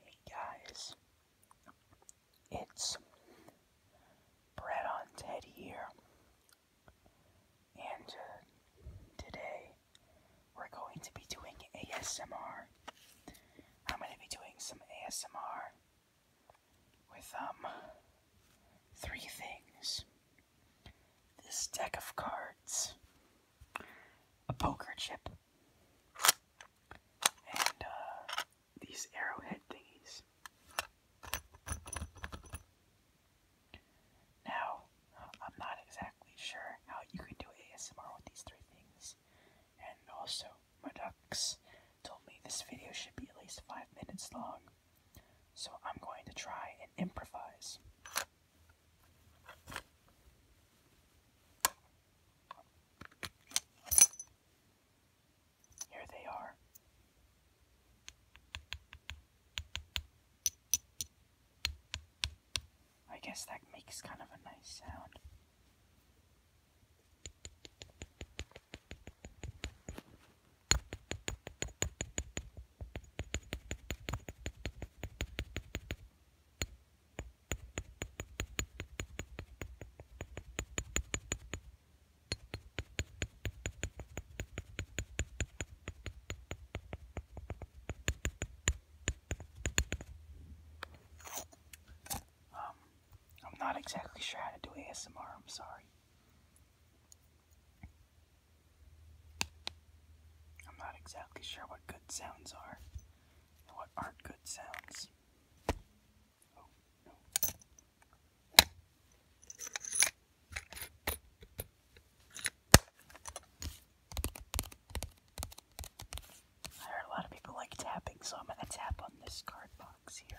Hey guys, it's Brett on Ted here, and uh, today we're going to be doing ASMR. I'm going to be doing some ASMR with um three things. This deck of cards, a poker chip, and uh, these arrowhead thingies. Now, I'm not exactly sure how you can do ASMR with these three things. And also, my ducks told me this video should be at least five minutes long. So I'm going to try and improvise. Here they are. I guess that makes kind of a nice sound. Um, I'm not exactly sure how to do ASMR, I'm sorry. I'm not exactly sure what good sounds are and what aren't good sounds. Oh, I heard a lot of people like tapping, so I'm going to tap on this card box here.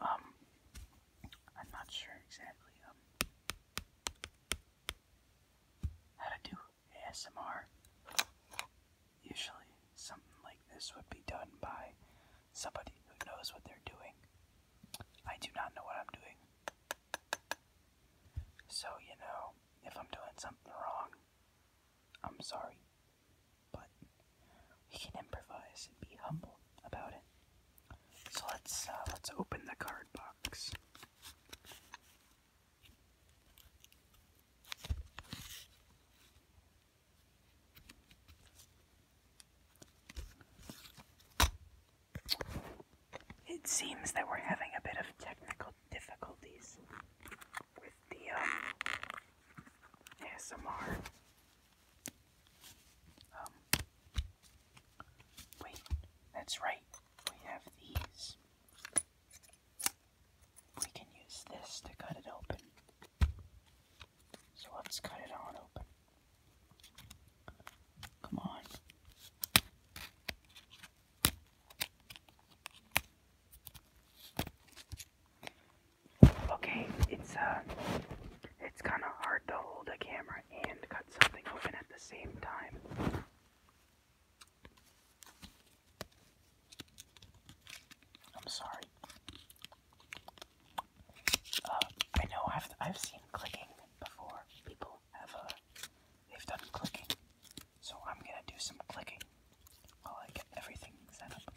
Um, I'm not sure exactly um how to do ASMR. Usually, something like this would be done by somebody who knows what they're doing. I do not know what I'm doing. So, you know, if I'm doing something wrong, I'm sorry. But we can improvise and be humble about it. So let's uh, let's open the card box. It seems that we're having a bit of technical difficulties the um, ASMR. Um, wait, that's right. We have these. We can use this to cut it open. So let's cut it on open. Come on. Okay, it's uh, it's kind of hard to hold a camera and cut something open at the same time. I'm sorry. Uh, I know I've I've seen clicking before. People have uh, they've done clicking. So I'm gonna do some clicking while I get everything set up.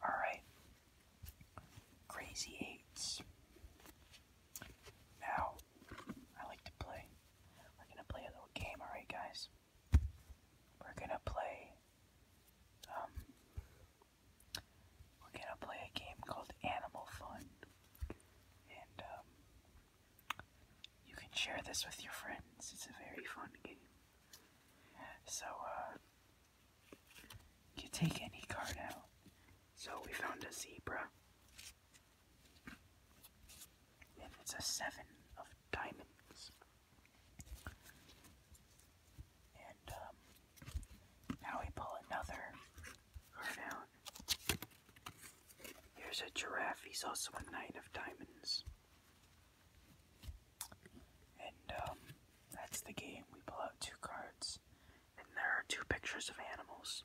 All right, crazy eights. Now I like to play we're gonna play a little game, alright, guys? We're gonna play. Um, we're gonna play a game called Animal Fun. And, um, You can share this with your friends. It's a very fun game. So, uh. You take any card out. So we found a zebra. And it's a seven of diamonds. And um, now we pull another card out. Here's a giraffe. He's also a knight of diamonds. And um, that's the game. We pull out two cards, and there are two pictures of animals.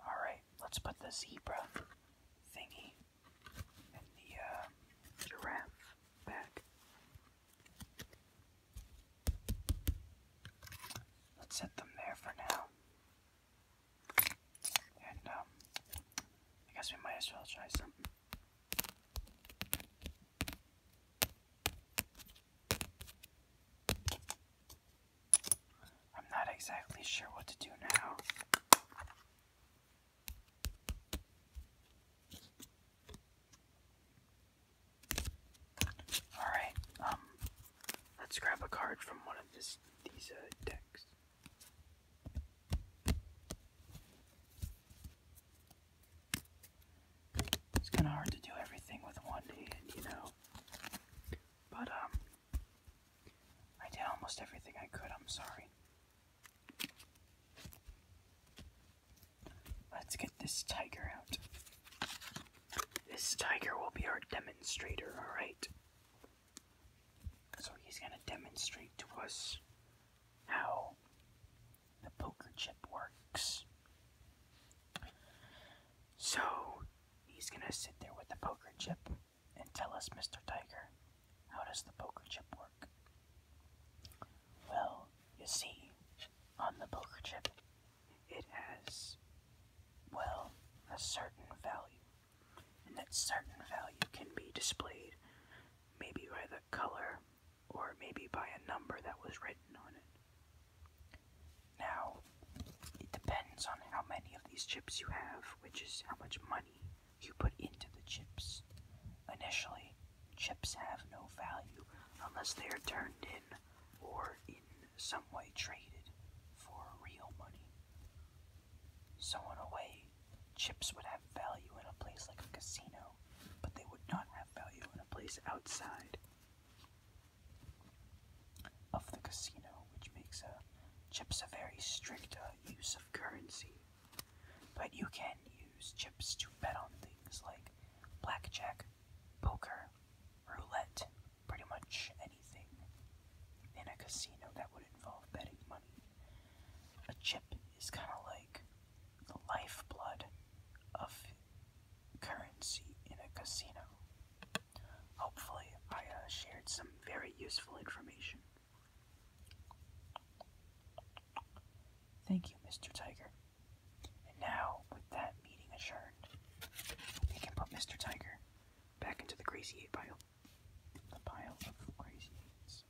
Alright, let's put the zebra thingy and the uh, giraffe back. Let's set them there for now. And, um, I guess we might as well try something. I'm not exactly sure what to do now. Alright, um, let's grab a card from one of this, these uh, decks. It's kind of hard to do everything with one hand, you know. But, um, I did almost everything I could, I'm sorry. Let's get this tiger out. This tiger will be our demonstrator, alright? So he's gonna demonstrate to us how the poker chip works. So he's gonna sit there with the poker chip and tell us, Mr. Tiger, how does the poker chip work? Well, you see, on the poker chip, it has, well, a certain value. And that certain value can be displayed maybe by the color or maybe by a number that was written on it. Now, it depends on how many of these chips you have, which is how much money you put into the chips. Initially, chips have no value unless they are turned in or in some way traded for real money. So, in a way, chips would have value in a place like a casino, but they would not have value in a place outside of the casino, which makes uh, chips a very strict uh, use of currency. But you can use chips to bet on things like blackjack, poker, roulette, pretty much anything in a casino that would involve betting money. A chip is kind of like the lifeblood of currency in a casino. Hopefully, I uh, shared some very useful information. Thank you, Mr. Tiger. And now, with that meeting adjourned, we can put Mr. Tiger back into the crazy eight pile. The pile of crazy eights.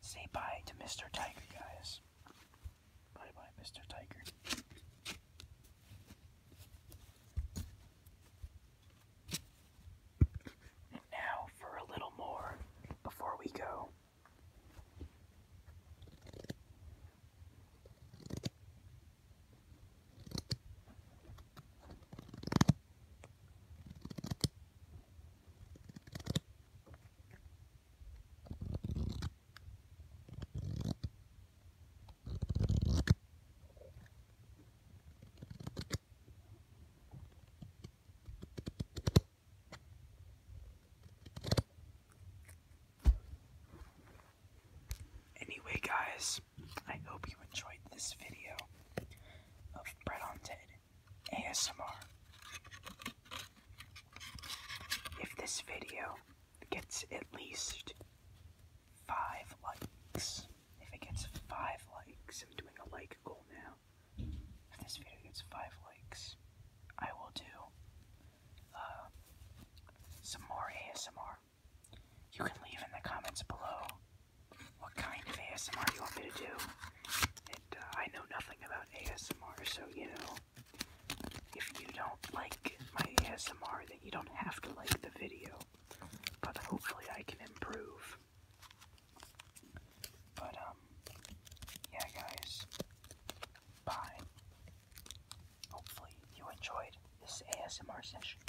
Say bye to Mr. Tiger, guys. Bye bye, Mr. Tiger. now for a little more before we go. Anyway guys, I hope you enjoyed this video of Bread on Ted ASMR. If this video gets at least five likes, if it gets five likes, I'm doing a like goal now. If this video gets five likes, I will do uh, some more ASMR. You can leave in the comments below what kind of ASMR you want me to do. Uh, I know nothing about ASMR, so you know, if you don't like my ASMR, then you don't have to like the video. But hopefully, I can improve. But, um, yeah, guys, bye. Hopefully, you enjoyed this ASMR session.